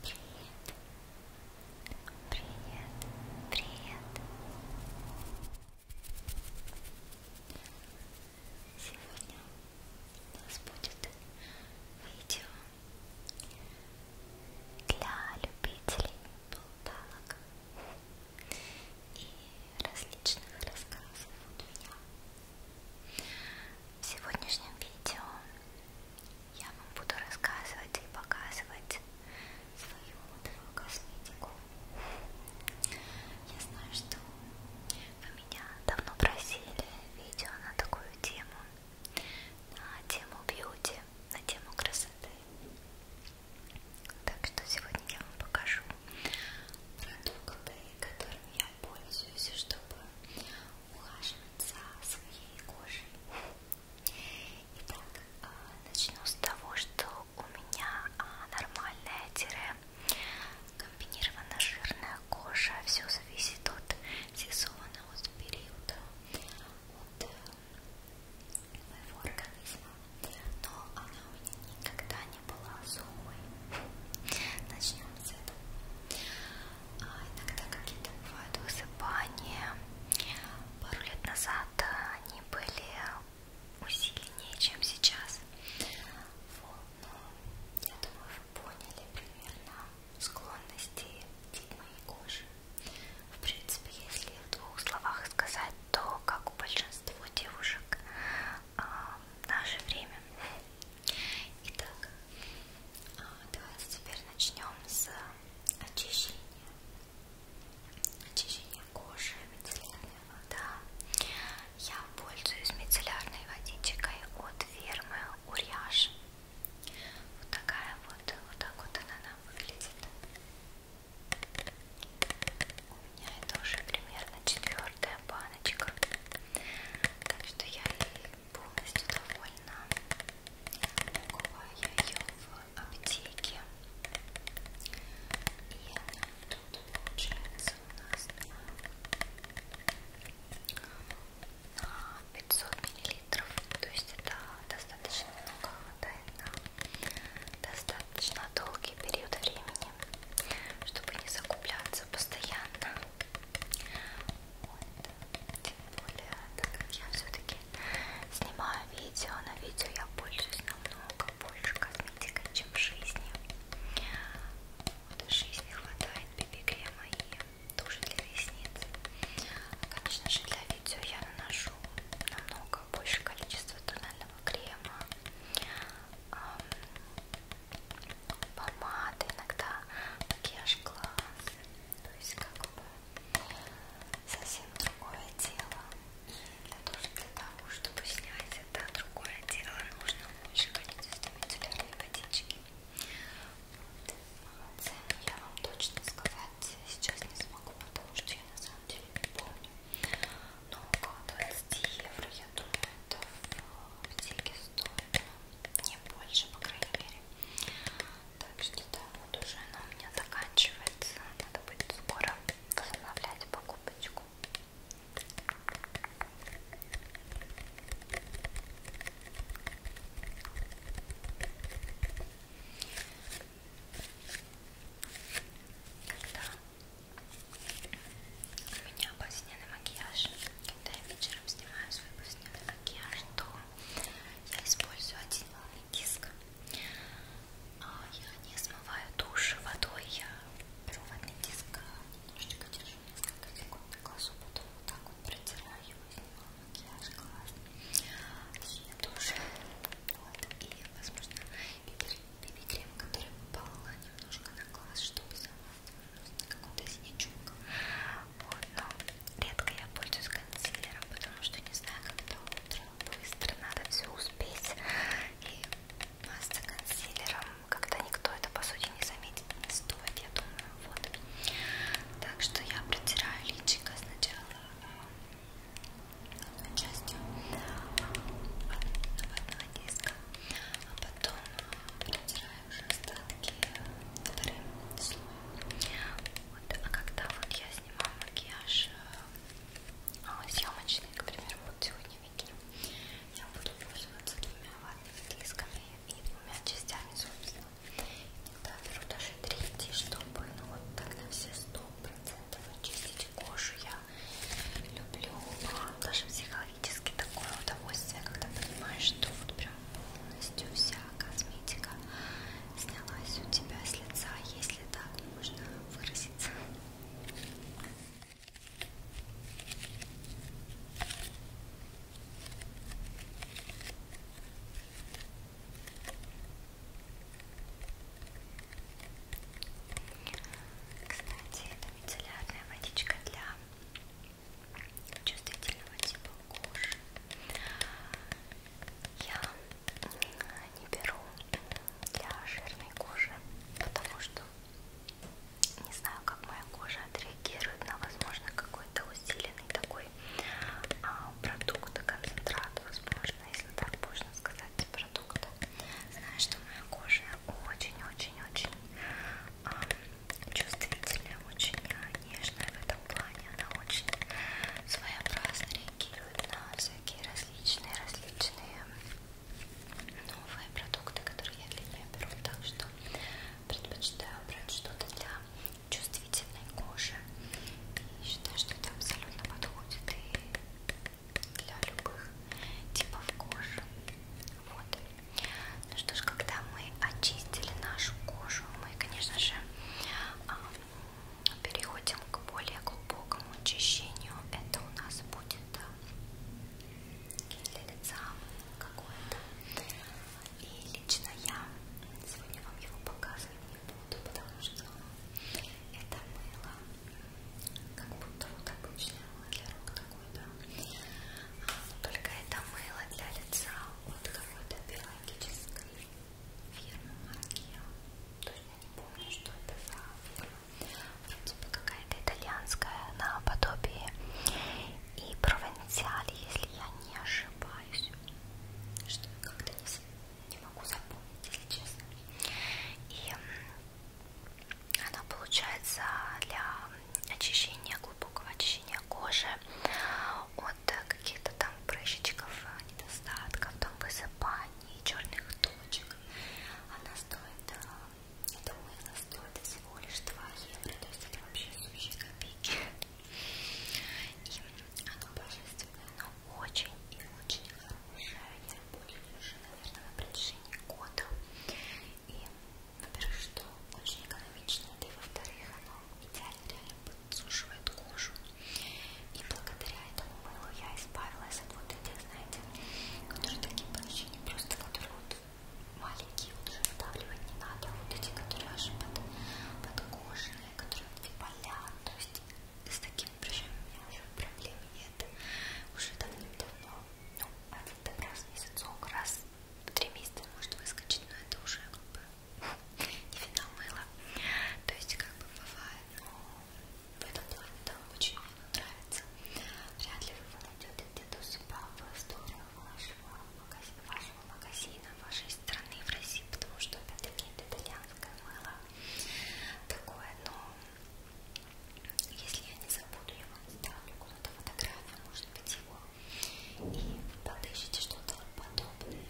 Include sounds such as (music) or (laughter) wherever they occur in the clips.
Привет, привет, привет. Сегодня у нас будет видео для любителей болталок и различных рассказов от меня. В сегодняшнем видео я вам буду рассказывать и показывать свою модную косметику. Я знаю, что вы меня давно просили видео на такую тему, на тему бьюти, на тему красоты. Так что сегодня я вам покажу продукты, которыми я пользуюсь, чтобы ухаживать за своей кожей. Итак, а, начну с того, что у меня а, нормальная тире комбинированная жирная кожа. Все зависит от сезона, от периода, от э, моего организма. Но она у меня никогда не была сухой. Начнем с этого. А иногда какие-то бывают высыпания. Пару лет назад они были усиленнее, чем сейчас. Вот, но я думаю, вы поняли примерно склонности тип моей кожи. В принципе, если в двух словах сказать, то как у большинства девушек а, в наше время Итак, а, давайте теперь начнем с очищения. Очищение кожи, мицеллярная вода. Я пользуюсь мицеллярной водичкой от фирмы Уряж. Вот такая вот, вот так вот она нам выглядит. У меня это уже примерно четвертая пара баночка. Так что я полностью довольна. Купила я ее в аптеке. И тут получается у нас на 500 миллилитров. То есть это достаточно много хватает на достаточно долгий период времени, чтобы не закупляться постоянно. Вот. Тем более, так как я все-таки снимаю видео, на видео я пользуюсь намного больше косметикой, чем в жизни. Вот, в жизни хватает BB-крема и туши для ресниц. Конечно же, для видео я наношу намного больше количества тонального крема помады, иногда макияж глаз. То есть как бы совсем другое дело. И для, тоже для того, чтобы снять это другое дело, нужно больше количество мицеллярной водички. Вот. Цену я вам точно сказать сейчас не смогу, потому что я на самом деле не помню. Но около 20 евро, я думаю, это в аптеке стоит не больше, по крайней мере. Так что да, вот уже она у меня заканчивается. Надо будет скоро возобновлять покупочку. Когда у меня обосняный макияж, когда я вечером снимаю свой повседневный макияж, то я использую один волны диск. А, я не смываю тушь водой, я беру водный диск, а, немножечко держу несколько секунд на глазу, потом вот так вот протираю его, снимаю макияж, глаз, и тушь. Вот. И, возможно, бибикрем, который попал немножко на глаз, чтобы сама какую-то синичку. Вот, но редко я пользуюсь консилером, потому что не знаю, когда утро, быстро надо все успеть. И масса консилером, когда никто это по сути не заметит, не стоит, я думаю, вот. Так что я протираю личико сначала одной частью одного диска, а потом протираю смываешь остатки вторым слоем. Вот. А когда вот я снимаю макияж э, а, съемочный, к примеру, вот сегодня вечером, я буду пользоваться двумя ватными дисками и двумя частями, собственно. Иногда беру даже третий, чтобы ну, вот так на все 100% очистить кожу. Я люблю а, даже всех психологически такое удовольствие, когда понимаешь, что вот прям полностью вся косметика снялась у тебя с лица, если так можно выразиться. Кстати, это мицеллярная водичка для чувствительного типа кожи. Я не беру для жирной кожи, потому что не знаю, как моя кожа отреагирует на, возможно, какой-то усиленный такой а, продукт, концентрат, возможно, если так можно сказать, продукт. Знаю, что моя кожа очень-очень-очень а, чувствительная, очень нежная в этом плане. Она очень своеобразно реагирует на всякие различные, различные новые продукты, которые я для нее беру. Так что предпочитаю брать что-то для чувствительной кожи. И считаю, что это абсолютно подходит и для любых типов кожи. Вот. Ну что ж, когда мы очистили нашу кожу, мы, конечно же, а, переходим к более глубокому очищению. Это у нас будет а, гель для лица какой-то. И лично я сегодня вам его показывать не буду, потому что это мыло как будто вот обычное мыло для рук такой, да. Только это мыло для лица от какой-то биологической фирмы марки. То есть я не помню, что это за фирма. Типа какая-то итальянская наподобие. И провансаль, если я не ошибаюсь. Что я как-то не, не могу запомнить, если честно. И она получается для очищения, глубокого очищения кожи от э, каких-то там прыщичков, э, недостатков, там высыпаний, черных точек. Она стоит, это мыло стоит всего лишь 2 евро, то есть это вообще сущие копейки. И оно божественное, но очень и очень хорошее. Я буду уже, наверное, на протяжении года. И во-первых, что очень экономично, да и во-вторых, оно идеально реально подсушивает кожу. И благодаря этому мылу я избавилась от вот этих, знаете, которые такие прыщи, просто которые вот маленькие, вот уже вдавливать не надо, а вот эти, которые аж под, подкожные, которые вот типа лян, то есть с такими прыщами у меня уже проблем нет, уже давным-давно, ну, один раз в месяцок, раз три месяца может выскочить, но это уже как бы (laughs) не финал мыла. То есть как бы бывает, но в этом плане там очень мне нравится. Вряд ли вы найдете где-то у себя в историю вашего магазина, вашего магазина, вашей страны в России, потому что опять-таки это итальянское мыло такое, но если я не забуду, я вам ставлю какую-то фотографию, может быть его, и подыщите что-то подобное.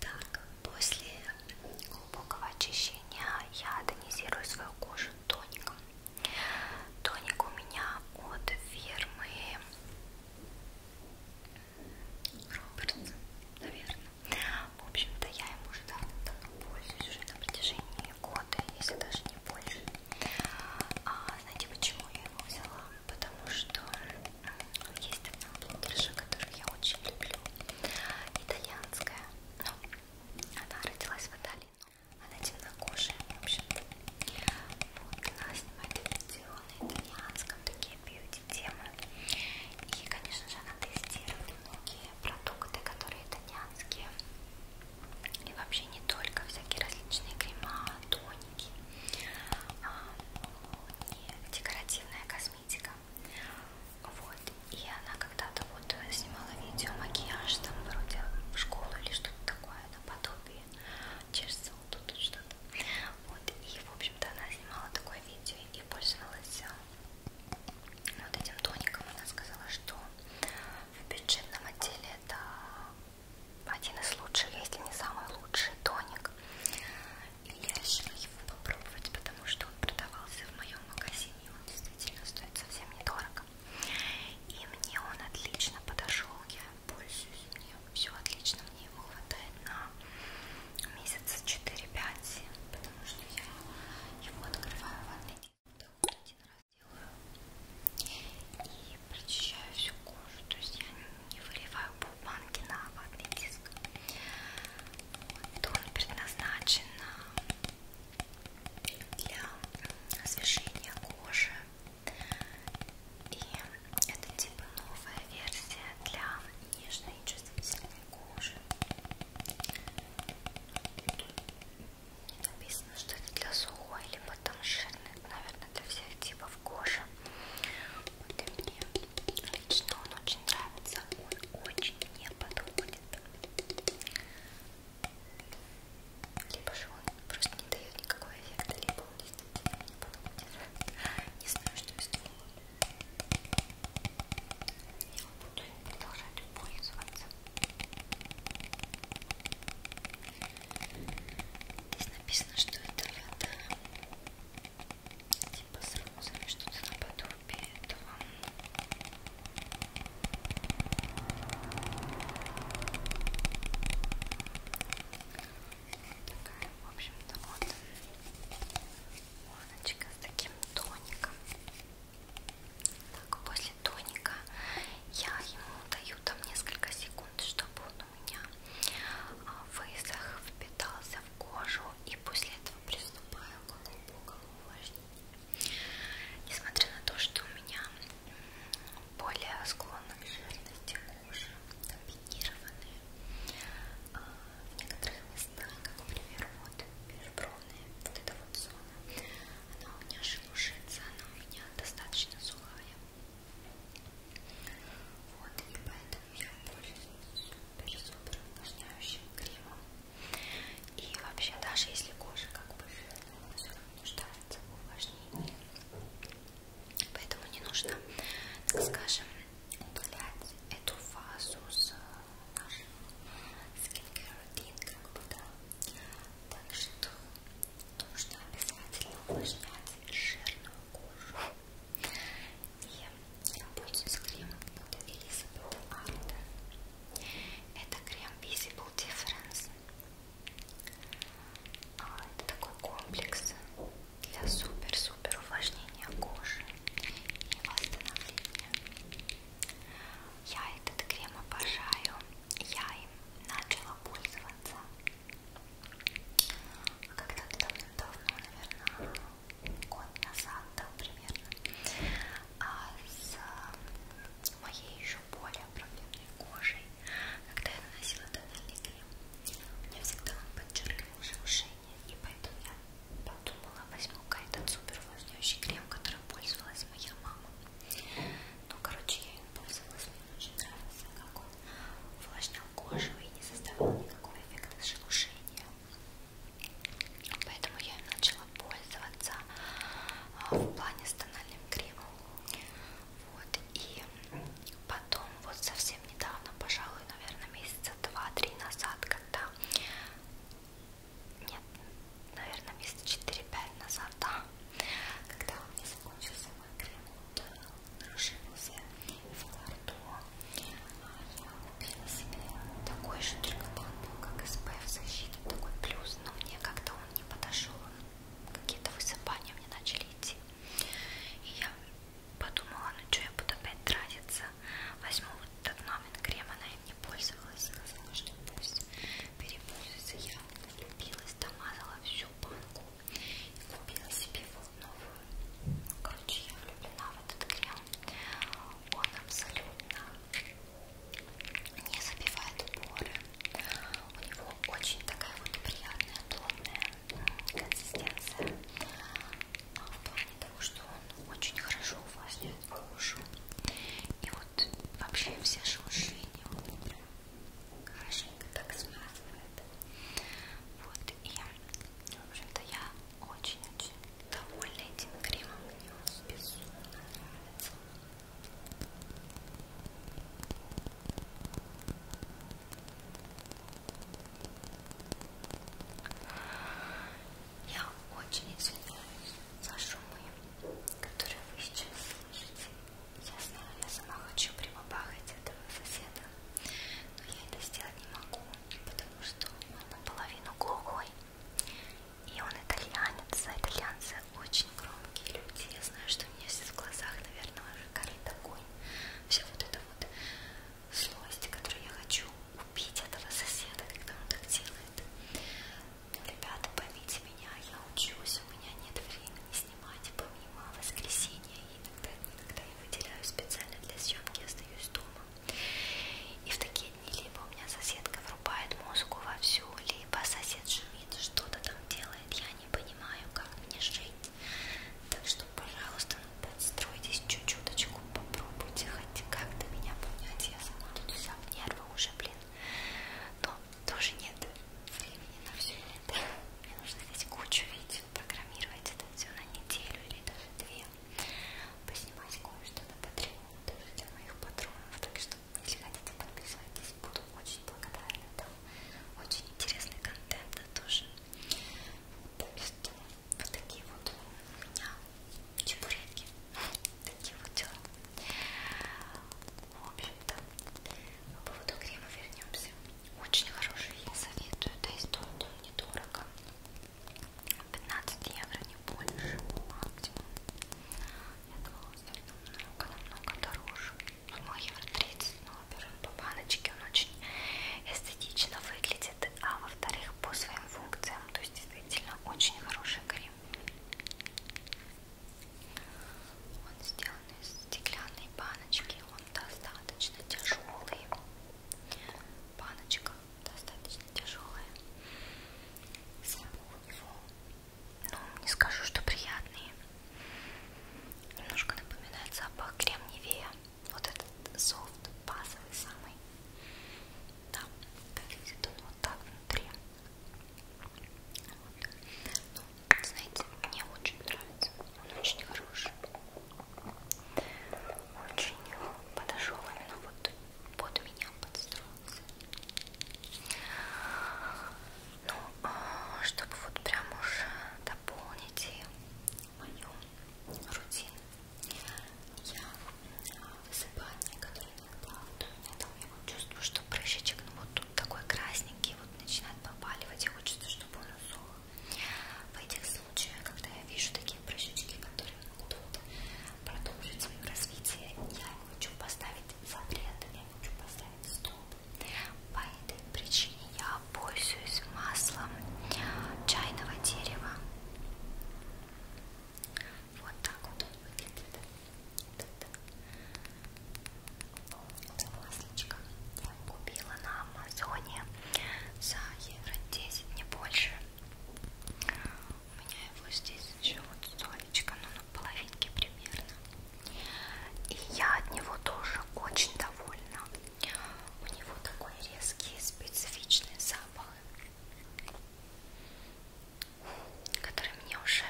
Так, после глубокого очищения я тонизирую свою кожу тоником. Тоник у меня от фирмы Робертс, наверное. В общем-то, я им уже давно пользуюсь уже на протяжении года, если даже не больше. А, знаете, почему я его взяла? Потому что есть одна блогерша, которую я очень люблю, итальянская. Ну, она родилась в Италии, но она темнокожая, в общем. Вот она снимает видео на итальянском, такие бьюти-темы. И, конечно же, она тестирует многие продукты, которые итальянские и вообще не только всякие различные крема, тоники, и а, декоративная косметика. Вот. И она когда-то вот снимала видео макияж там вроде в школу или что-то такое наподобие. Через тут что-то. Вот. И в общем-то она снимала такое видео и пользовалась э, вот этим тоником. Она сказала, что в бюджетном отделе это один из лучших, если не самый лучший тоник. И я решила его попробовать, потому что он продавался в моем магазине, он действительно стоит совсем недорого. И мне он отлично подошел, я пользуюсь, мне все отлично, мне его хватает на месяц 4-5, потому что я его открываю в одной один раз делаю и прочищаю всю кожу, то есть я не выливаю полбанки на ватный диск. Вот, он предназначен для освежения кожи. И это типа новая версия для нежной и чувствительной кожи. Тут написано, что это для сухой, либо там жирной, наверное, абсолютно для всех типов кожи. Вот и мне лично он очень нравится, он очень не подходит. Либо же он просто не дает никакого эффекта, либо он действительно не подходит. Не знаю, что из него. Я буду им продолжать пользоваться. Здесь написано, что это лето типа с розами, что-то наподобие этого. Такая, в общем-то, вот морночка с таким тоником. Так, после тоника я ему даю там несколько секунд, чтобы он у меня а, высох, впитался в кожу и после этого приступаю к глубокому увлажнению. Несмотря на то, что у меня более склонна к жирности кожи, комбинированные а, в некоторых местах, как, например, вот межбровная, вот эта вот зона, она у меня шелушится, она у меня достаточно сухая, вот, и поэтому я пользуюсь супер-супер увлажняющим кремом. И вообще, даже если кожа как бы жирная, она все равно нуждается в увлажнении. Поэтому не нужно, так скажем, удалять эту фазу с э, нашего скинкер-рутин, как бы, да. Так что нужно обязательно увлажнять жирную кожу. И я пользуюсь кремом от Elizabeth Arden. Это крем Visible Difference. А, это такой комплекс для супер-супер увлажнения кожи и восстановления. Я этот крем обожаю я им начала пользоваться а когда-то давным-давно, наверное, год назад, да, примерно, а с моей еще более проблемной кожей, когда я наносила тональный крем, у меня всегда он подчеркивал шелушение, и поэтому я подумала, возьму-ка этот супер увлажняющий крем, которым пользовалась моя мама. Ну, короче, я им пользовалась, мне очень нравился, как он увлажнял кожу и не создавал никакого эффекта шелушения. Поэтому я им начала пользоваться в плане с тональным кремом. Вот, и потом, вот совсем недавно, пожалуй, наверное, месяца два-три назад, когда... Нет, наверное, месяца 4-5 назад, да, когда у меня закончился выкрикнуто, расширился в ларту. Я купила себе такой же, только там был, как SPF защита, такой плюс, но мне как-то он не подошел, какие-то высыпания мне начали идти. И я подумала, ну что я буду опять тратиться, возьму вот этот номер крем, она им не пользовалась, сказала, что пусть перепользуется. Я влюбилась, домазала всю банку, и купила себе вот новую. Короче, я влюблена в этот крем. Он абсолютно не забивает поры. У него очень такая вот приятная, плотная консистенция. А в плане того, что он очень хорошо увлажняет кожу. И вот вообще все шелушения, он прям хорошенько так смазывает. Вот, и я, в общем-то, я очень-очень довольна этим кремом, мне он безумно нравится. Я очень извиняюсь за шумы, которые вы сейчас слышите. Я знаю, я сама хочу прямо бахать этого соседа, но я это сделать не могу, потому что он наполовину глухой, и он итальянец, а итальянцы очень громкие люди. Я знаю, что у меня сейчас в глазах, наверное, уже горит огонь. Вся вот эта вот злость, которую я хочу убить этого соседа, когда он так делает. Но, ребята, поймите меня, я учусь, у меня нет времени снимать помимо а воскресенья и иногда, иногда я выделяю специально для съемки, остаюсь дома и в такие дни либо у меня соседка врубает музыку вовсю, либо сосед шумит, что-то там делает, я не понимаю, как мне жить так что, пожалуйста, ну, подстройтесь чуть-чуточку, попробуйте хоть как-то меня понять, я сама тут вся в нервы уже, блин но тоже нет времени на все это. Мне нужно здесь кучу видео, программировать это все на неделю или даже две, поснимать кое-что на Patreon, даже для моих патронов. Так что, если хотите, подписывайтесь, буду очень благодарна. Там очень интересный контент тоже. Так что, вот такие вот у меня чебуреки, (laughs) такие вот дела. В общем-то, по поводу крема вернемся. Очень хороший, я советую. Да и стоит он недорого. 15 евро, не больше, максимум. Я думала, он стоит намного-намного дороже. 1 евро 30, но, во-первых, по баночке он очень эстетично выглядит, а во-вторых, по своим функциям. То есть, действительно, очень хороший крем. Он сделан из стеклянной баночки, он достаточно тяжелый. Баночка достаточно тяжелая. Запах у него, ну, не скажу, что приятный. Немножко напоминает запах кремниевея. Вот этот софт, базовый самый. Да, выглядит он вот так внутри. Вот. Ну, знаете, мне очень нравится. Он очень хороший. Очень подошел именно вот под меня подстроился. Ну, а, чтобы вот прям уж дополнить мою рутину, я а, высыпание, которое иногда, вот, я там я вот чувствую, что прыщичек, ну вот такой красненький, вот начинает попаливать и хочется, чтобы он усох. В этих случаях, когда я вижу такие прыщички, которые могут продолжить свое развитие, я им хочу поставить запрет, я им хочу поставить стоп. По этой причине я пользуюсь маслом чайного дерева. Вот так вот он выглядит. Вот, Масличко я купила на Амазоне за евро 10, не больше. У меня его здесь еще вот солечко, ну на половинке примерно. И я от него тоже очень довольна. У него такой резкий специфичный запах, который мне уже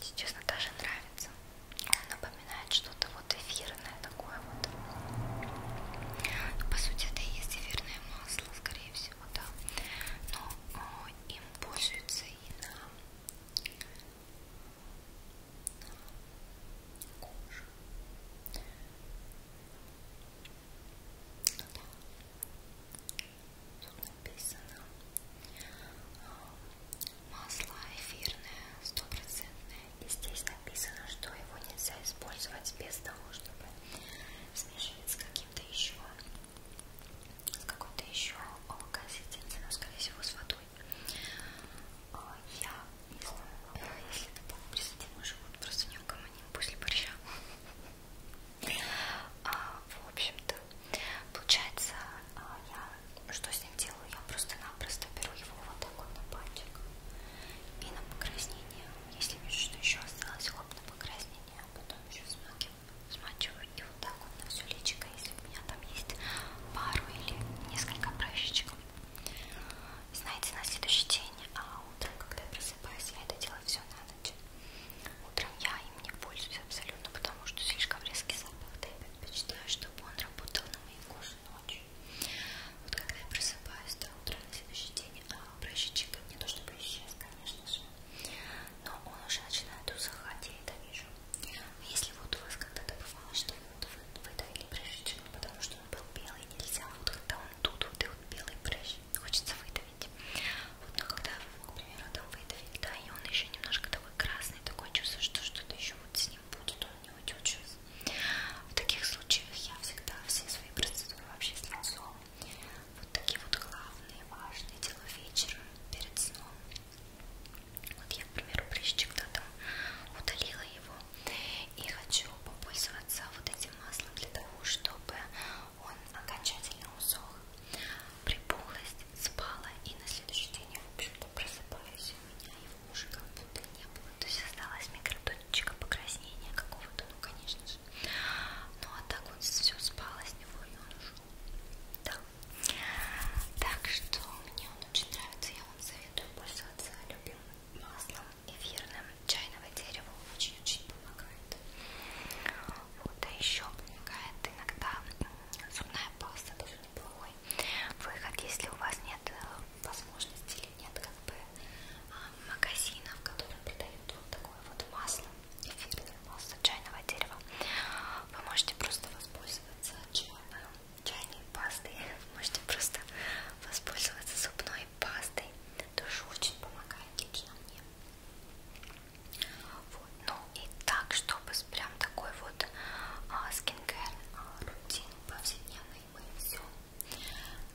сейчас даже нравится. Он напоминает что-то вот эфирное такое вот. Ну, по сути, это и есть эфирное масло, скорее всего, да. Но о, э, им пользуются и на, на кожу. Да. Тут написано э, масло эфирное, стопроцентное. И здесь написано, что его нельзя использовать без того, чтобы смешивать с каким-то еще, с какой-то еще консистенцией, но скорее всего с водой. А, я, если это был присоединен живот, просто не угомоним после борща. А, в общем-то, получается, а, я что с ним делаю? Я просто-напросто беру его вот так вот на пальчик и на покраснение. Если вижу, что еще осталось, хоп, на покраснение, а потом еще смакиваю, смачиваю и вот так вот на все личико, если у меня там есть пару или несколько прыщичек. Знаете, на следующий день, а утром, когда я просыпаюсь, я это делаю все на ночь. Утром я им не пользуюсь абсолютно, потому что слишком резкий запах. Да я предпочитаю, чтобы он работал на мои кожи даже ночью. Вот когда я просыпаюсь до утра на следующий день, а прыщичек не то чтобы исчез, конечно же, но он уже начинает усыхать, я это вижу. Если вот у вас когда-то бывало, что вот вы выдавили прыщичек, ну, потому что он был белый, нельзя, вот когда он тут, вот и вот белый прыщ, хочется выдавить. Вот, но ну, когда вы, к примеру, там выдавили, да, и он еще немножко такой красный, такое чувство, что что-то еще вот с ним будет, он не утючусь. В таких случаях я всегда все свои процедуры вообще с лицом. Вот такие вот главные, важные дела вечера перед сном. Вот я, к примеру, прыщик да, там удалила его. И хочу попользоваться вот этим маслом для того, чтобы он окончательно усох. Припухлость спала и на следующий день я, в общем-то, просыпаюсь. У меня уже как будто не было. То есть осталась микротонечка покраснения какого-то, ну конечно же. Ну а так вот все спало с него и он ушел. Да. Так что мне он очень нравится. Я вам советую пользоваться любимым маслом эфирным чайного дерева. Очень-очень помогает. Вот, а еще помогает иногда зубная паста, тоже неплохой выход, если у вас нет э, возможности или нет как бы а, магазинов, которые продают вот такое вот масло, эфирное масло чайного дерева, вы можете просто воспользоваться чайной, чайной пастой, вы можете просто воспользоваться зубной пастой, тоже очень помогает лично мне. Вот. Ну и так, чтобы прям такой вот а, скингер а, рутин повседневной мы все.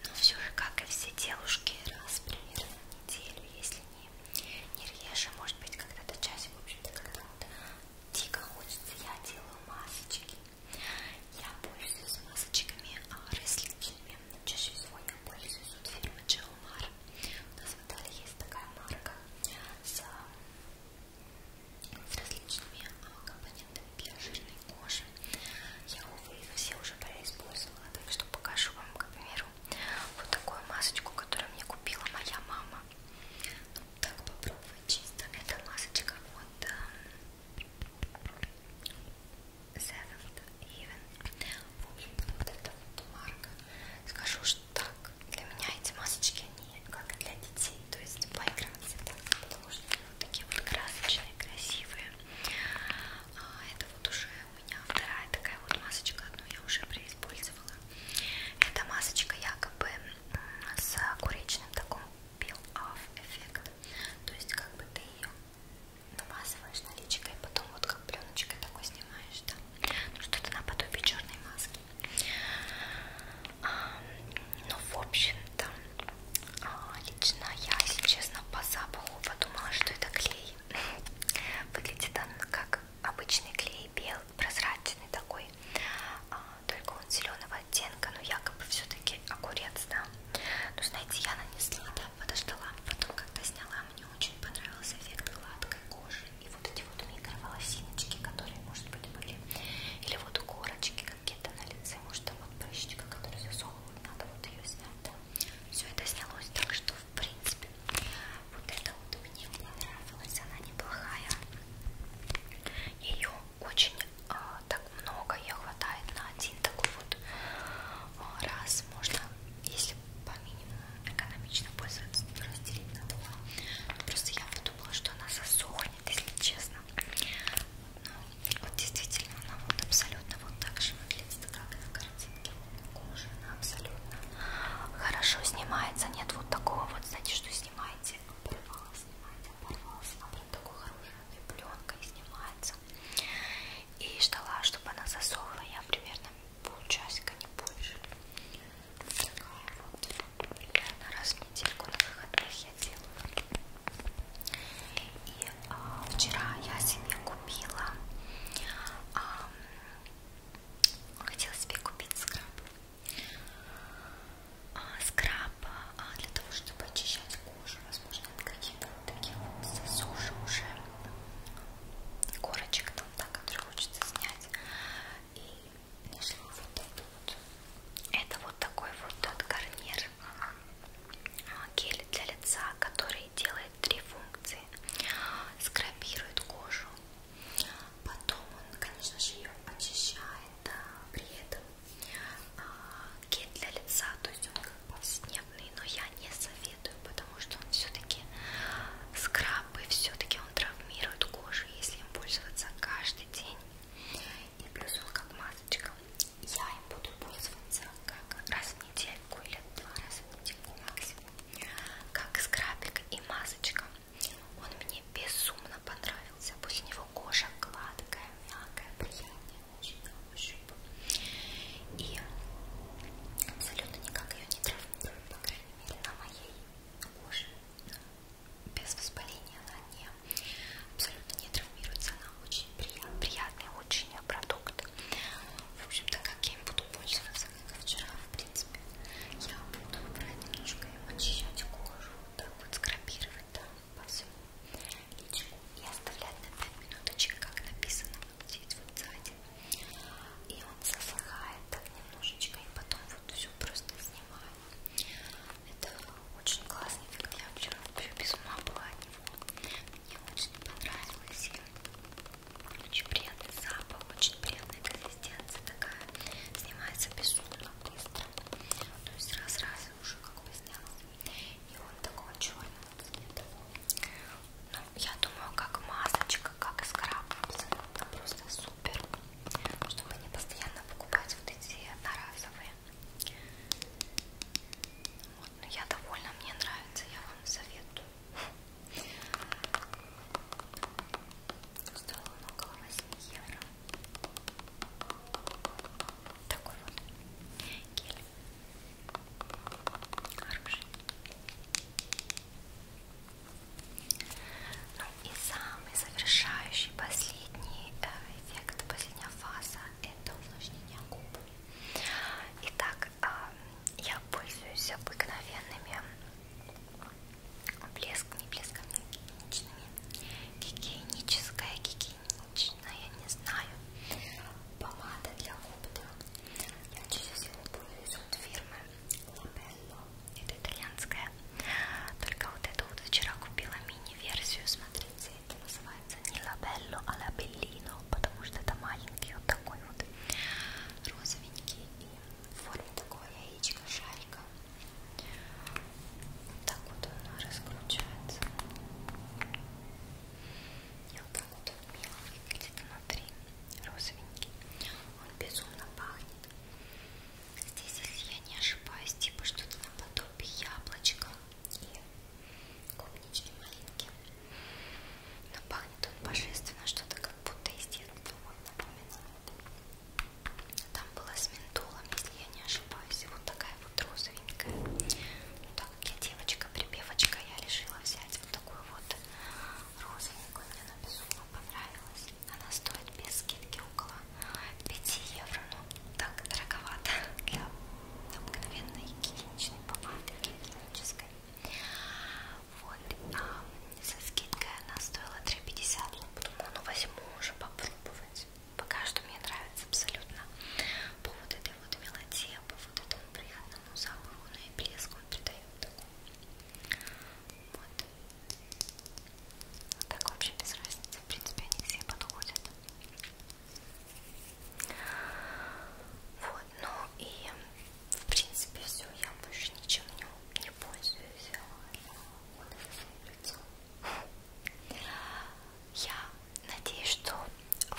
Но все же, как и все девушки, раз примерно в неделю, если не, не реже, может быть, когда-то часик, в общем-то, когда вот дико хочется, я делаю масочки. Я пользуюсь масочками а, рысликими, чаще всего я пользуюсь от фирмы Джелмар. У нас в Италии есть такая марка с с различными а, компонентами для жирной кожи. Я, увы, их все уже происпользовала, так что покажу вам, к примеру, вот такую масочку, которую мне купила моя мама. Ну, так попробовать чисто. Это масочка от um, Seventh Even. В общем-то, вот эта вот марка. Скажу, что так, для меня эти масочки они как для детей, то есть поиграться так, потому что они вот такие вот красочные, красивые. А, это вот уже у меня вторая такая вот масочка, одну я уже преиспользовала. Эта масочка якобы с куречным таком пил-офф эффектом, то есть как бы ты ее намазываешь наличкой, потом вот как пленочкой такой снимаешь, да, ну что-то наподобие черной маски. А, но ну, в общем-то а, лично я, если честно, по запаху подумала, что это клей. (laughs) Выглядит он как обычный клей, белый, прозрачный такой, а, только он зеленого оттенка, но якобы все-таки огурец, да. Ну, знаете, я нанесла, да, подождала, потом когда сняла, мне очень понравился эффект гладкой кожи и вот эти вот микроволосиночки, которые, может быть, были, или вот корочки, какие-то на лице, может, вот прыщечка, которую засовывают, надо вот ее снять, да. Все это снялось, так что, в принципе, вот эта вот мне понравилась, она неплохая. Ее очень э, так много, ее хватает на один такой вот э, раз, можно, если по минимуму экономично пользоваться, разделить на два. Просто я подумала, что она засохнет, если честно. Ну, вот действительно она вот абсолютно вот так же выглядит, как и на картинке. Кожа, она абсолютно хорошо снимается. Нет вот такого вот, знаете, что снимаете, оборвалась, снимаете, оборвалась. Она прям такой хорошей пленкой снимается. И ждала, чтобы она засохла. Я примерно полчасика, не больше. Такая вот примерно раз на силиконовых отдых я делаю. И а, вчера я себе купила, а, хотела себе купить скраб. А, скраб а, для того, чтобы очищать кожу, возможно, от каких-то вот таких вот сосушек уже корочек там, да, которые хочется снять. И нашла вот это вот. Это вот такой вот от Garnier а, гель для лица, который делает три функции. Скрабирует кожу, потом он, конечно же, ее очищает, а при этом а, гель для лица, то есть он как повседневный, но я не советую, потому что он все-таки скраб и все-таки он травмирует кожу, если им пользоваться каждый день. И плюс он как масочка. Я им буду пользоваться как раз в недельку или два раза в недельку максимум. Как скрабик и масочка. Он мне безумно понравился. Пусть у него кожа гладкая, мягкая, приятная, очень на ощупь. И абсолютно никак ее не травмирует, по крайней мере, на моей коже без воспаления она не, абсолютно не травмируется, она очень приятный, приятный очень продукт. В общем, так как я им буду пользоваться, как и вчера, в принципе, я буду брать немножко и очищать кожу, так вот скрабировать там да, по всему личику и оставлять на 5 минуточек, как написано вот здесь вот сзади. И он засыхает так немножечко, и потом вот все просто снимаю читала. Это очень классный эффект. Я вчера вообще без ума была от него. Мне очень понравилось. Очень приятный запах, очень приятная консистенция такая. Снимается безумно быстро. То есть раз-раз уже как бы снялся. И он такого черного цвета. Ну, я думаю, как масочка, как скраб абсолютно просто супер. Чтобы не постоянно покупать вот эти одноразовые. Вот, но ну, я довольна, мне нравится, я вам советую. Стоил он около 8 евро. Такой вот гель. Хороший. Ну и самый завершающий последний э, эффект, последняя фаза это увлажнение губ. Итак, а, я пользуюсь обыкновенными блеск, не блесками, гигиеничными, гигиеническая, гигиеничная, я не знаю, помада для губ, да. Я чаще всего пользуюсь от фирмы Labello, это итальянская только вот эту вот вчера купила мини-версию, смотрите, это называется не лабелло, а лабеллино, потому что это маленький вот такой вот розовенький и в форме такого яичка, шарика. Так вот он раскручивается. И вот так вот он мило выглядит внутри, розовенький. Он безумно пахнет. Здесь, если я не ошибаюсь, типа что-то наподобие яблочка и клубнички малинки. Но пахнет он божественно, что-то как будто из детства вот напоминает. Там было с ментолом, если я не ошибаюсь, вот такая вот розовенькая. Ну, так как я девочка-припевочка, я решила взять вот такую вот розовенькую. Мне она безумно понравилась. Она стоит без скидки около 5 евро, ну так дороговато для обыкновенной гигиеничной помады гигиенической. Вот, а со скидкой она стоила 3,50, ну подумала, ну возьму уже попробовать. Пока что мне нравится абсолютно по вот этой вот мелодии, по вот этому приятному запаху, ну и блеск он придает такой. Вот. Ну так вообще без разницы, в принципе, они все подходят. Вот, ну и в принципе все, я больше ничем не, не пользуюсь. Вот лицо. Я надеюсь, что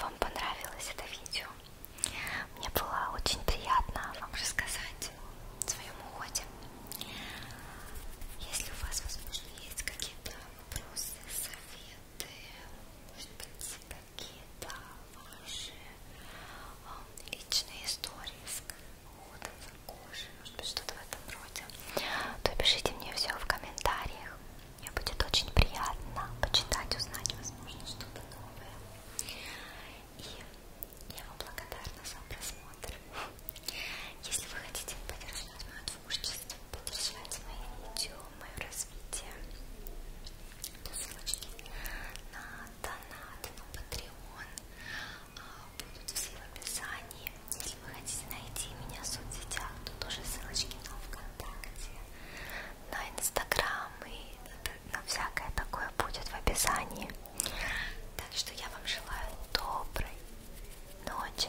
вам понравилось это видео. Мне было очень приятно вам рассказать о своем уходе. Если у вас, возможно, есть какие-то вопросы, советы, может быть, какие-то ваши э, личные истории с уходом за кожей, может быть, что-то в этом роде, то пишите мне все в комментариях. Мне будет очень приятно почитать, узнать, возможно, что-то новое. И я вам благодарна за просмотр просмотр. Если вы хотите поддержать мое творчество, поддержать мои видео, мое развитие, то ссылочки на донат, на Patreon а, будут все в описании. Если вы хотите найти меня в соцсетях, то тоже ссылочки на ВКонтакте, на Инстаграм и на всякое такое будет в описании. Так что я вам желаю доброй ночи